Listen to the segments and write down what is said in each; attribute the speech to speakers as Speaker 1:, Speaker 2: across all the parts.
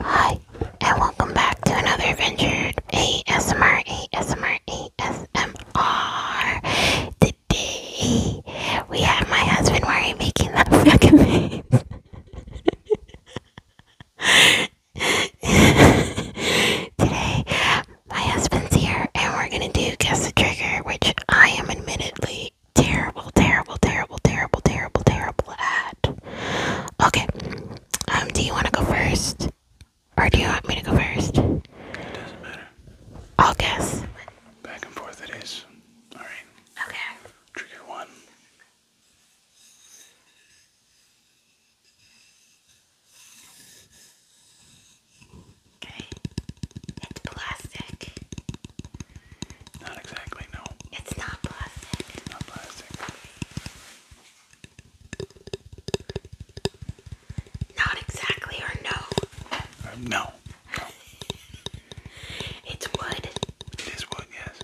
Speaker 1: Hi, and welcome back to another adventure ASMR, Today, we have my husband Mari making that fucking face. Today, my husband's here, and we're gonna do Guess the Trigger, which I am admittedly terrible, terrible, terrible, terrible, terrible, terrible at. Okay. Um, do you want to go first? Or do you want me to go first? It doesn't matter. I'll guess. Back and forth it is. Alright. Okay. Trigger one. Okay. It's plastic. Not exactly, no. It's not plastic. It's not plastic. Not exactly, or no? Uh, no. It's wood. It is wood, yes.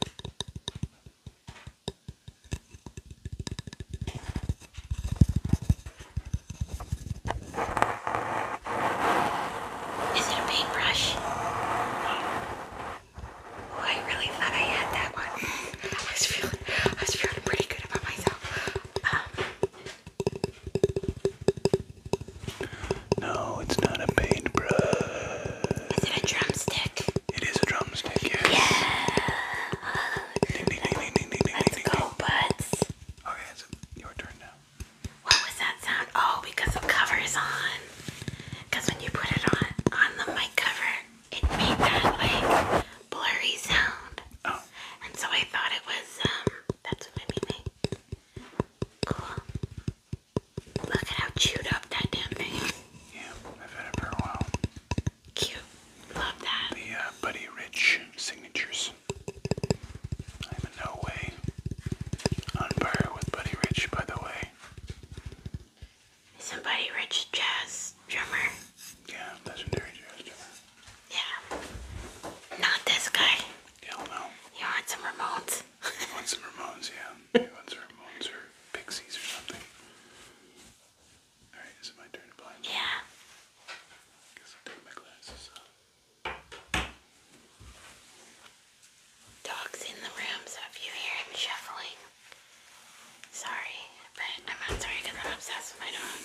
Speaker 1: Is it a paintbrush? Oh, I really thought I had that one. I was feeling, I was feeling pretty good about myself.
Speaker 2: Um, no, it's not a paintbrush. Is it a drumstick? It is a drumstick, Yeah.
Speaker 1: Let's go, butts. Okay, it's your turn now. What was that sound? Oh, because the cover's on. Because when you put it on on the mic cover, it made that like blurry sound. Oh. And so I thought it was um that's what made me Cool. Look at how chewed up that damn thing. Yeah, I've had it for a while.
Speaker 2: Cute. Love that. The uh, Buddy Rich signatures. I'm in no way on par
Speaker 1: with Buddy Rich, by the way. Somebody rich jazz drummer. Yeah, legendary jazz drummer. Yeah. Not this guy. Hell no. You want some
Speaker 2: Ramones? want some Ramones, yeah. want some Ramones or Pixies or something. Alright, is my turn to blind? Yeah. guess I'll take my glasses off dogs in the room, so if you hear him shuffling, sorry, but I'm not sorry because I'm obsessed with my dog.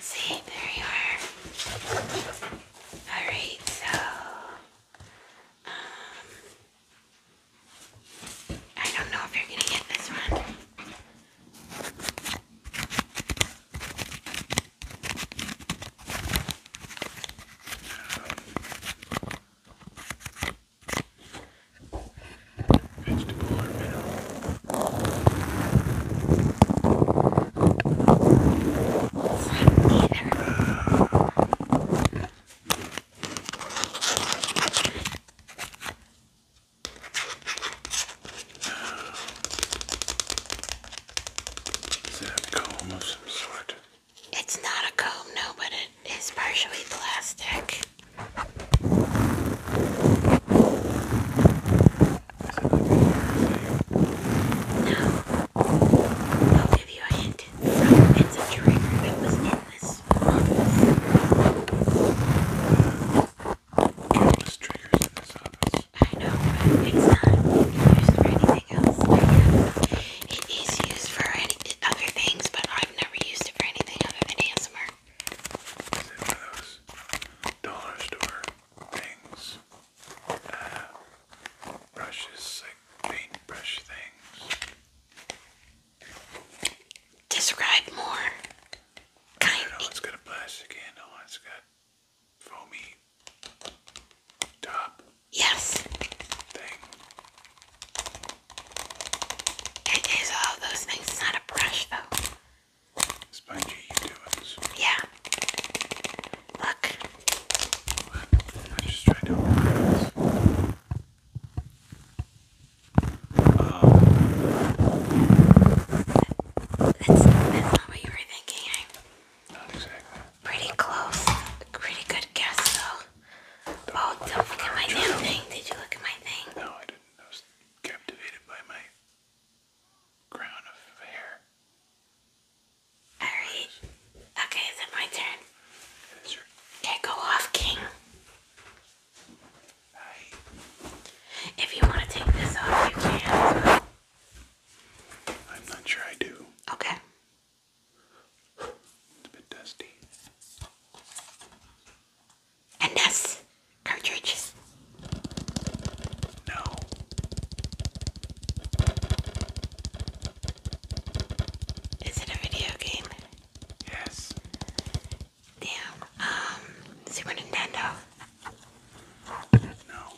Speaker 2: See, there you are. Alright, so, um, I don't know if you're going to get this one.
Speaker 1: Vegetable or mineral? Neither. Uh, is that a comb of some sort? It's not a comb, no, but it is partially plastic. Now, I'll give you a hint. It's a trigger that was in this office. Countless triggers in this office. I know, but it's not used for anything
Speaker 2: else. It is used for any other things, but I've never used it for anything other than ASMR. Is one of those dollar store things? Uh, brushes, like paintbrush things? Describe more. Kind that one's got a plastic handle, one's got foamy top. Yes.
Speaker 1: It is all those things. not a brush though. Spongy you doings. Yeah. Look. I just tried to that's, not what you were thinking. Not exactly. Pretty close. Pretty good guess though. Oh, don't look at my damn thing. Did you look at my thing? No, I didn't. I was captivated by my crown of hair. Alright. Okay, is it my turn? It is Okay, go off, King. Hi. If you want to take this off, you can. I'm not sure I do. Okay. It's a bit dusty. And this cartridge. No. Is it a video game? Yes. Damn. Um, Super Nintendo. No.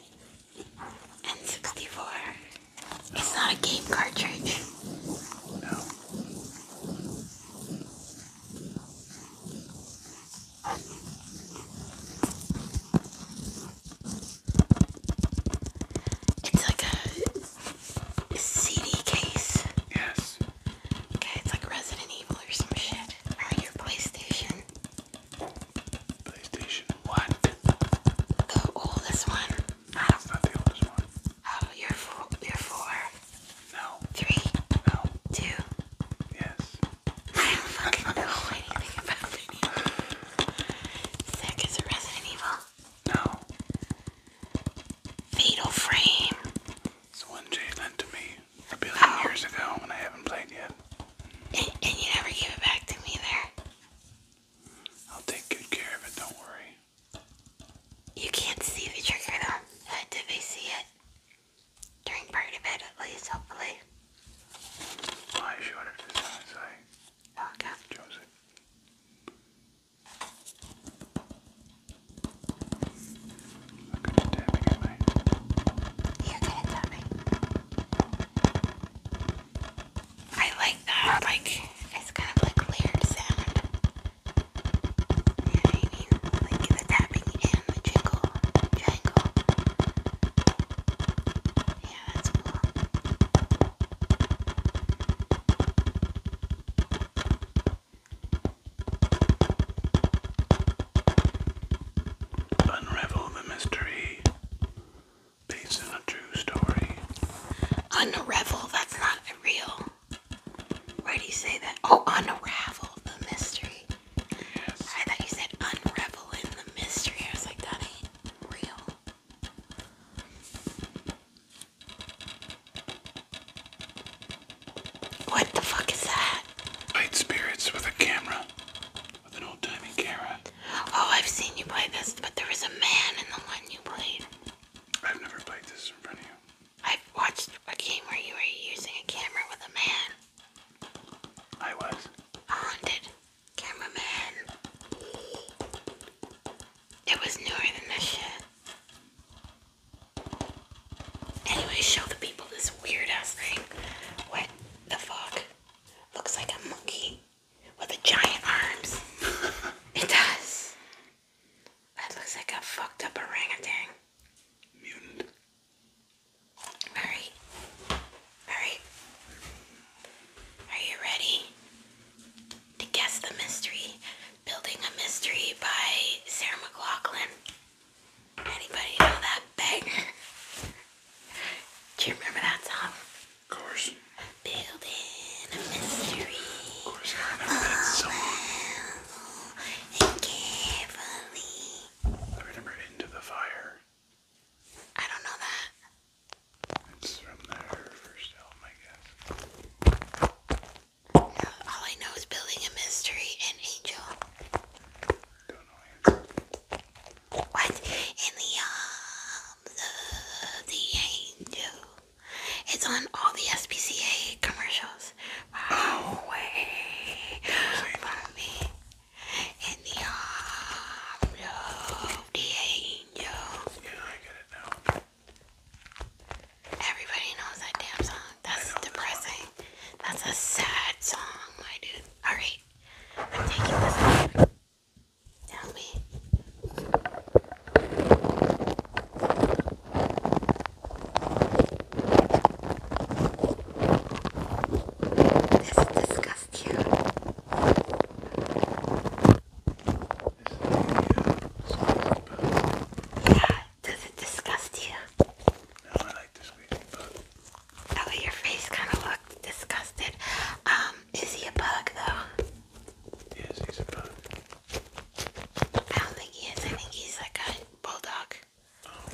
Speaker 1: N64. It's not a game cartridge. No. It's like a CD case. Yes. Okay, it's like Resident Evil or some shit. Or your PlayStation. PlayStation what? Oh, the oldest one. That's not the oldest one. Oh, you're four. No. Three. No. Two. Yes. I don't fucking know anything about video. Sick is Resident Evil. No. Fatal Frame. It's one Jay lent to me a billion oh. years ago and I haven't played yet. and you never give it back to me there? I'll take good care of it, don't worry. You can't see the trigger though. Uh, did they see it? During part of it at least, hopefully. Well, I showed it to
Speaker 2: someone, so I okay. chose it. at tapping, am I? You're good at I like that. Like it's kind of like layered sound. I mean? Like the tapping and the jingle, jangle. Yeah, that's cool. Unravel the mystery based on a
Speaker 1: true story. Unravel, that's not real. Why do you say that? Oh, unravel the mystery. I thought you said unravel in the mystery. I was like, that ain't real. What the fuck is that?
Speaker 2: Light spirits with a camera. With an old timey camera. Oh, I've
Speaker 1: seen you play this, but there was a man in the one you played. I've never played this in front of you. I've watched a game where you were using a camera with a man. I was. A haunted cameraman. It was newer than this shit. Anyway, show the people this weird ass thing. What the fuck? Looks like a monkey with a giant arms. it does. That looks like a fucked up orangutan. Mutant. Alright. Alright. Are you ready to guess the mystery? Building a Mystery by Sarah McLaughlin. Anybody know that banger? Do you remember that song? Of course. Of course, I know oh, remember Into the Fire. I don't know that. It's from their first album, I guess. No, all I know is Building a Mystery and Angel. Don't know either. What? In the arms of the angel. It's on all the SPCA commercials. oh. way me. In the arms of the angel. Yeah, I get it now. Everybody knows that damn song. That's depressing. That's a sad song, my dude. Alright. I'm taking this out. Tell me. Does it disgust you? Yeah, does it disgust you? No, I like this squeaky Oh, your face kind of looked disgusted. Um, is he a bug though? Yes, he's a bug. I don't think he is. I think he's like a bulldog. Oh,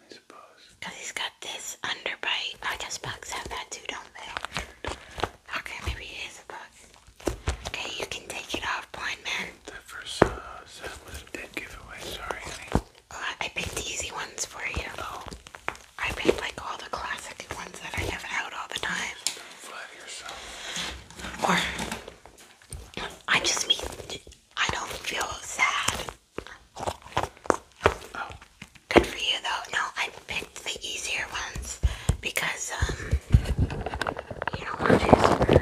Speaker 1: I suppose. Because he's got this underbite. I guess bugs have that too, don't they? Okay, maybe it is a bug. Okay, you can take it off, blind man. That first uh, was a dead giveaway. Sorry, uh, I picked easy ones for you. Oh. I picked like all the classic ones that I have out all the time. Or I just mean I don't feel sad. Oh. Good for you though. No, I picked the easier ones because um you don't want to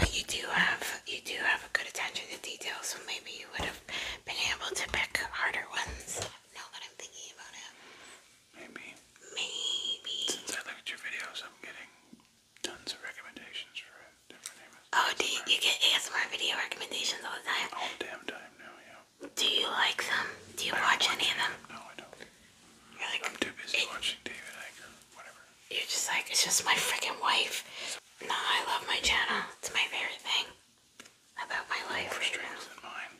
Speaker 1: But you do have you do have a good attention to detail, so maybe you would have been able to pick harder ones now that I'm thinking about it. Maybe. Maybe. Since I looked at your videos, I'm getting tons of recommendations for different Oh, do you, you get ASMR video recommendations all the time? All damn time now, yeah. Do you like them? Do you watch any of them? No, I don't. You're like, I'm too busy watching David Icke whatever. You're just like, it's just my freaking wife. No, I love my channel. It's my favorite thing about my life right now. Than mine.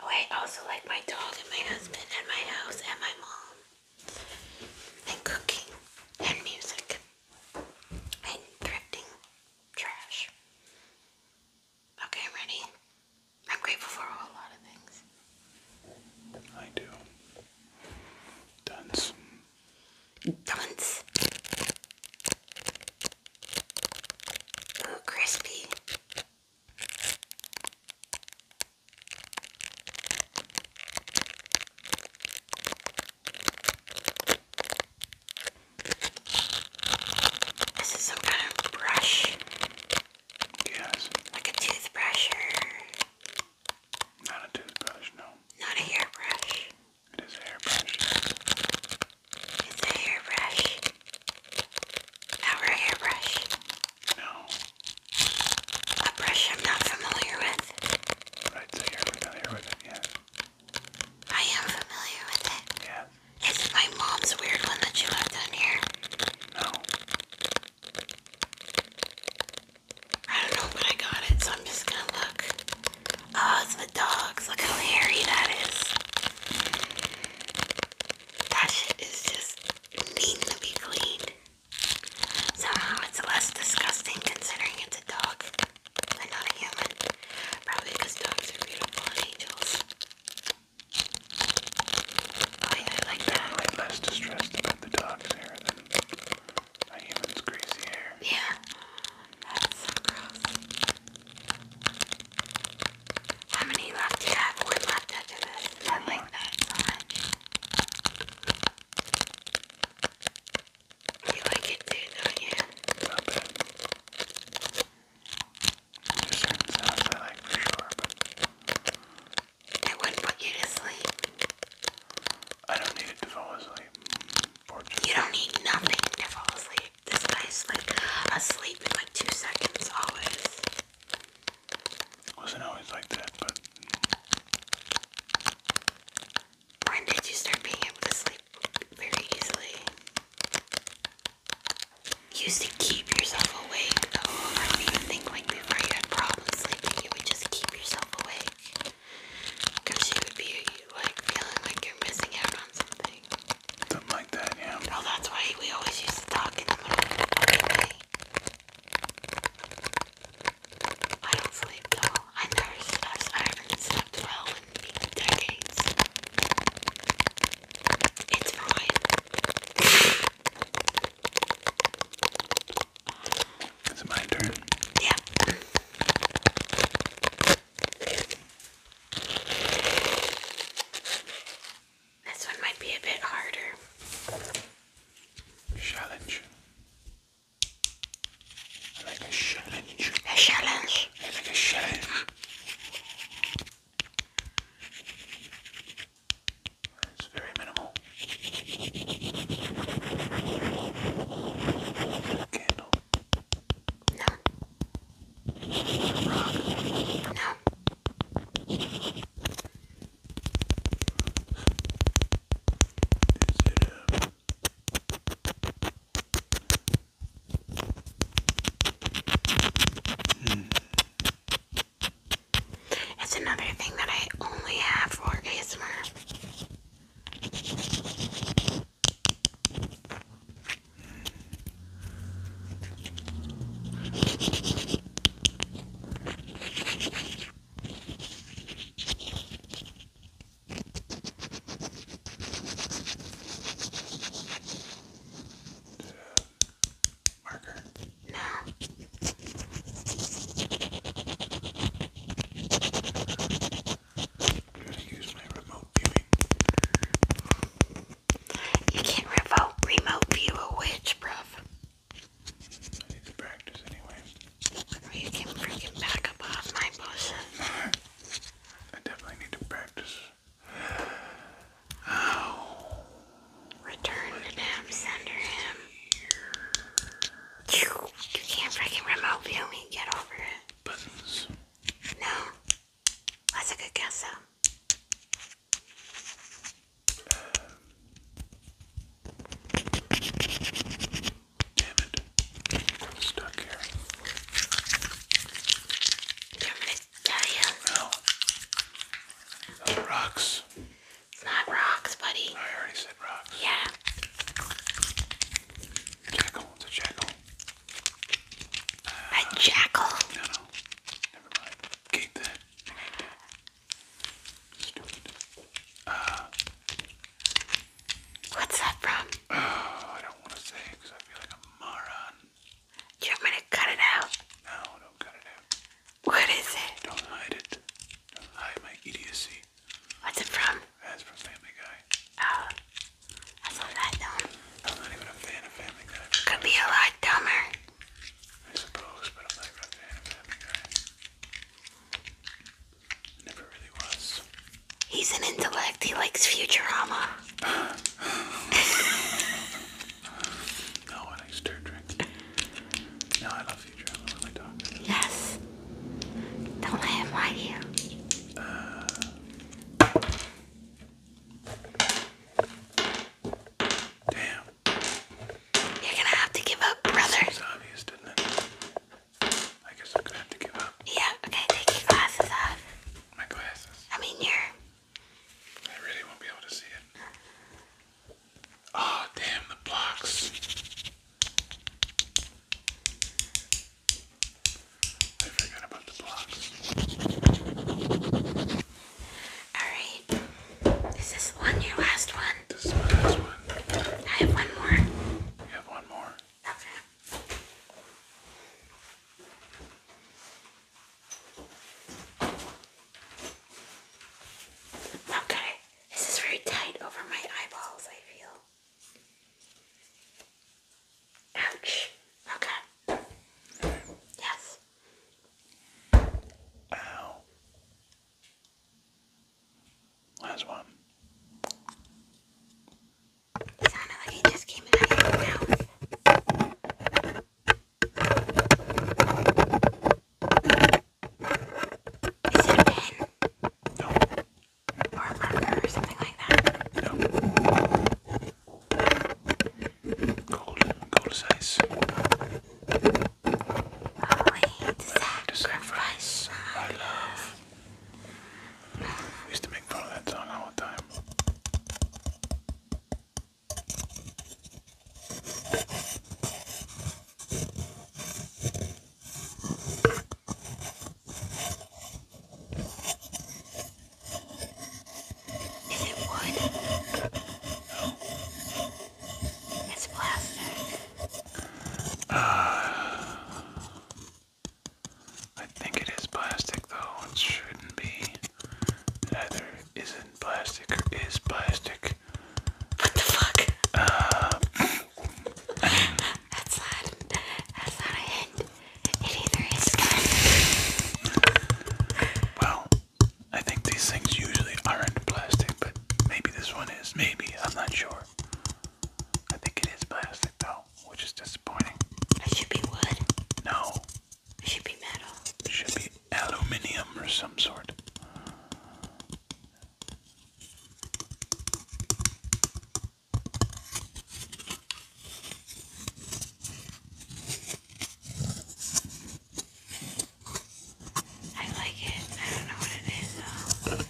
Speaker 1: Oh, I also like my dog and my husband and my house and my mom and cooking and music and thrifting trash. Okay, i ready. I'm grateful for a lot of things. I do. Dunce. Dunce. Ooh, crispy. This is some kind of brush. Yes. Like a toothbrush Not a toothbrush, no. Not a hairbrush. It is a hairbrush. It's a hairbrush. Our hairbrush. No. A brush I'm not familiar with. Right, so you're familiar with it, yeah. I am familiar with it. Yeah. Is it my mom's weird one that she left on here? No. I don't know, but I got it, so I'm just gonna look. Oh, it's the dogs. Look how hairy that is. That shit is just needs to be cleaned. Somehow it's less disgusting considering it's a dog not a human. Probably because dogs are beautiful angels. Oh yeah, I like that. Definitely less distressed about the dog's hair than a human's greasy hair. Yeah. That's so gross. How many left do you have? One left after this. I like that so much. like it don't you? Not I wouldn't put you to sleep. I don't need it to fall asleep. You don't need nothing to fall asleep guy. This guy's like asleep in like two seconds always. Wasn't always like that, but. When did you start being able to sleep very easily? used to keep yourself awake though. I don't before you had problems sleeping, you would just keep yourself awake. Because you would be like feeling like you're missing out on something. Something like that, yeah. Oh, that's why we always used to talk in the middle of the fucking I don't sleep though. I never slept. I haven't slept well in decades. It's fine. Is my turn? Yeah. This one might be a bit harder. Challenge. like a challenge. A challenge. like a challenge. It's very minimal. Candle. No. No. hmm. It's another thing that I only have for ASMR. Marker. No. I'm going to use my remote viewing. You can't remote, remote view a witch, bruv. I need to practice anyway. you can freaking back up off my
Speaker 2: bullshit. I definitely need to practice. Oh. Return to them, send him. You can't freaking remote view me, get over it. Buttons. No. That's a good guess, though. damn it.
Speaker 1: stuck here. you want me No. rocks. not rocks, buddy. I already said rocks. Yeah. Jackal. It's a jackal a jackal. No, no. Never mind. Keep that. Uh. What's that from? Oh, I don't want to say because I feel like a moron. Do you want me to cut it out? No, don't cut it out. What is it? Don't hide
Speaker 2: it. Don't hide my idiocy. What's it from? That's from Family Guy. Oh.
Speaker 1: Could be a lot dumber. I suppose, but I'm not a fan of Family Guy. Never really was. He's an intellect. He likes Futurama. no, I like Star Trek. No, I love Futurama. What am Yes. Don't let him lie you. Uh, Damn. You're gonna have to give up, brother. Seems obvious, didn't it? I guess I'm gonna have to give up.
Speaker 2: Yeah, okay, take your glasses off. My glasses? I mean, your... I really won't be able to see it. Oh, damn, the blocks. I forgot about the blocks. Alright. Is this one your last one? This is my last one. I have one more. You have one more?
Speaker 1: Okay. This is very tight over my eyeballs, I feel. Ouch. Okay. Yes.
Speaker 2: Ow. Last one. It sounded like it just came out of your mouth. Is it a pen? Or a marker or something like that? Golden, gold size. Only the sacrifice I love. used to make fun of that song all the time. Is it wood? No. It's plastic. Uh, I think it is plastic though. It shouldn't be. either isn't plastic or is plastic. What the fuck? Uh, that's not. That's not a hint. Well, I think these things usually aren't plastic, but maybe this one is. Maybe, I'm not sure. I think it is plastic though, which is disappointing. It should be wood. No. should be metal. should be aluminium or some sort. I like it. I don't know what it is though.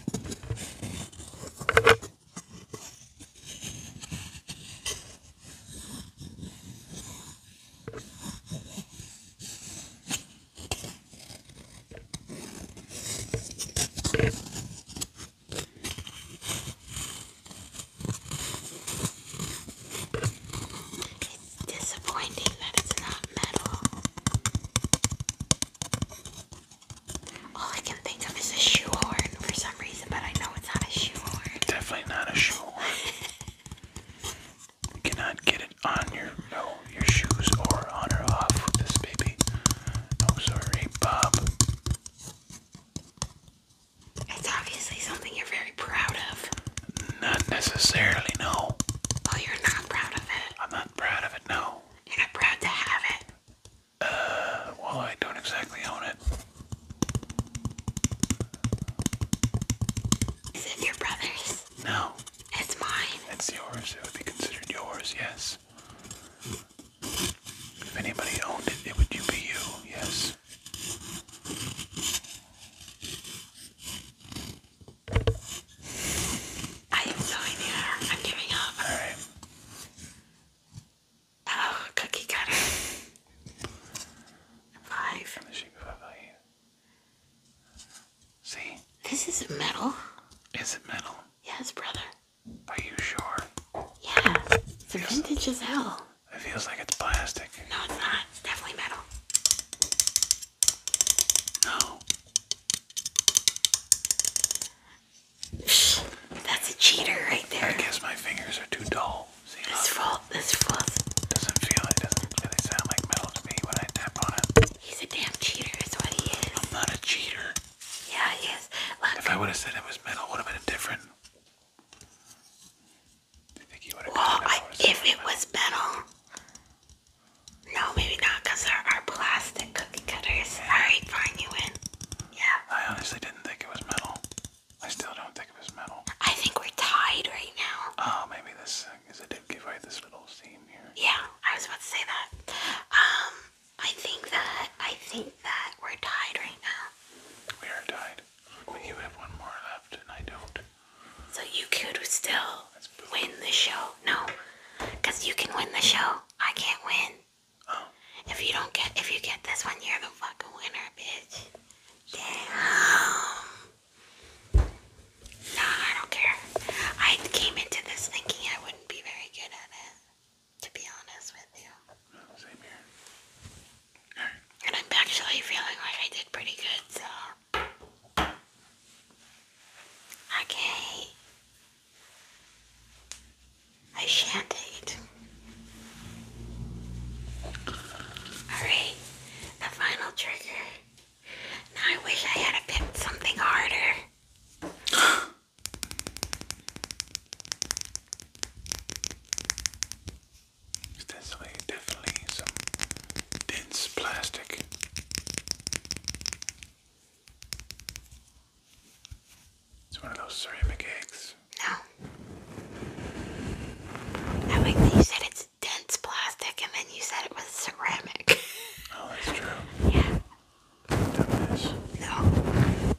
Speaker 2: It's disappointing that it's not metal. All I can think of is a shoehorn for some reason, but I know it's not a shoehorn. Definitely not a shoehorn. cannot get it on your no your shoes or on or off this baby. Oh sorry, Bob. It's obviously something you're very proud of. Not necessarily, no. Well, you're not proud of it. I'm not proud of it, no. You're not proud to have it. Uh, well, I don't exactly own it. Is it your
Speaker 1: brother's?
Speaker 2: No. It's mine. It's yours. It would be considered yours, yes. If anybody owned it, it would you be you, yes.
Speaker 1: I am so in here. I'm giving up. All right. Oh, cookie cutter. Five. See? This isn't metal.
Speaker 2: Is it metal? Yes, brother. Are you sure?
Speaker 1: Yeah. It's vintage as hell.
Speaker 2: It feels like it's plastic. No, it's not. It's definitely metal. No. That's a cheater right there. I guess my fingers are too dull. See, this false. This false. Doesn't feel Doesn't really sound like metal to me when I tap on it. He's a damn cheater. Is what he is. I'm not a cheater. Yeah, he If I would have said it was metal, would have been different.
Speaker 1: Well, I, if it was metal, no, maybe not, because there are plastic cookie cutters. Alright, fine, you win. Yeah. I honestly
Speaker 2: didn't think it was metal. I still don't think it was metal. I think we're tied right now. Oh, maybe this uh, is a did this little seam
Speaker 1: here. Yeah, I was about to say that. Um, I think that I think that we're tied right now. We are tied left. You have one more left, and I don't. So you could still win the show. No, because you can win the show. I can't win. Oh. If you don't get, if you get this one, you're the fucking winner, bitch. Damn. Nah, I don't care. I came into this thinking I wouldn't be very good at it. To be honest with you. Same here. And I'm actually feeling like I did pretty good, so. Okay. I shan't eat. Alright, the final trigger. Now I wish I had picked something harder.
Speaker 2: That's definitely some dense plastic.
Speaker 1: It's one of those ceramic eggs. No. I like you said it's dense plastic and then you said it was ceramic. oh, that's true. Yeah. No.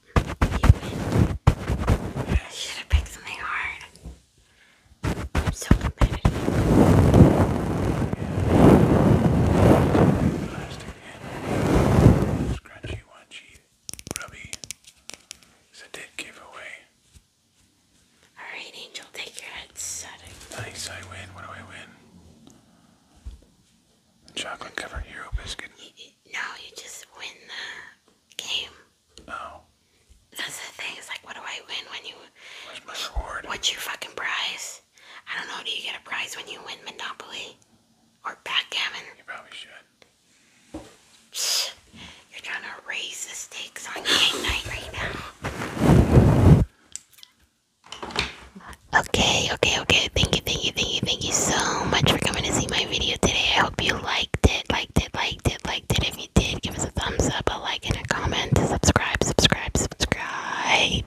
Speaker 1: I should have picked something hard. I'm so competitive. Yeah. Plastic
Speaker 2: hand. Scrunchy It's a dead giveaway. Alright, Angel, take your head Nice, I win. What do I
Speaker 1: win? Chocolate covered hero biscuit. No, you just win the game. Oh. That's the thing. It's like, what do I win when you? Where's my reward? What's your fucking prize? I don't know. Do you get a prize when you win Monopoly or backgammon? You probably should. You're trying to raise the stakes on game night right now. Okay, okay, okay. Thank you you, thank you, thank you, thank you so much for coming to see my video today. I hope you liked it, liked it, liked it, liked it. If you did, give us a thumbs up, a like, and a comment. Subscribe, subscribe, subscribe.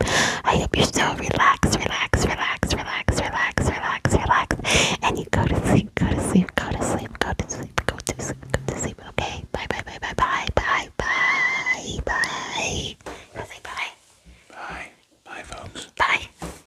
Speaker 1: I hope you're so relaxed, relaxed, relaxed, relaxed, relaxed, relaxed, relaxed. And you go to sleep, go to sleep, go to sleep, go to sleep, go to sleep, go to sleep. Okay, bye, bye, bye, bye,
Speaker 2: bye, bye, bye, bye. Say bye. Bye. Bye, folks. Bye.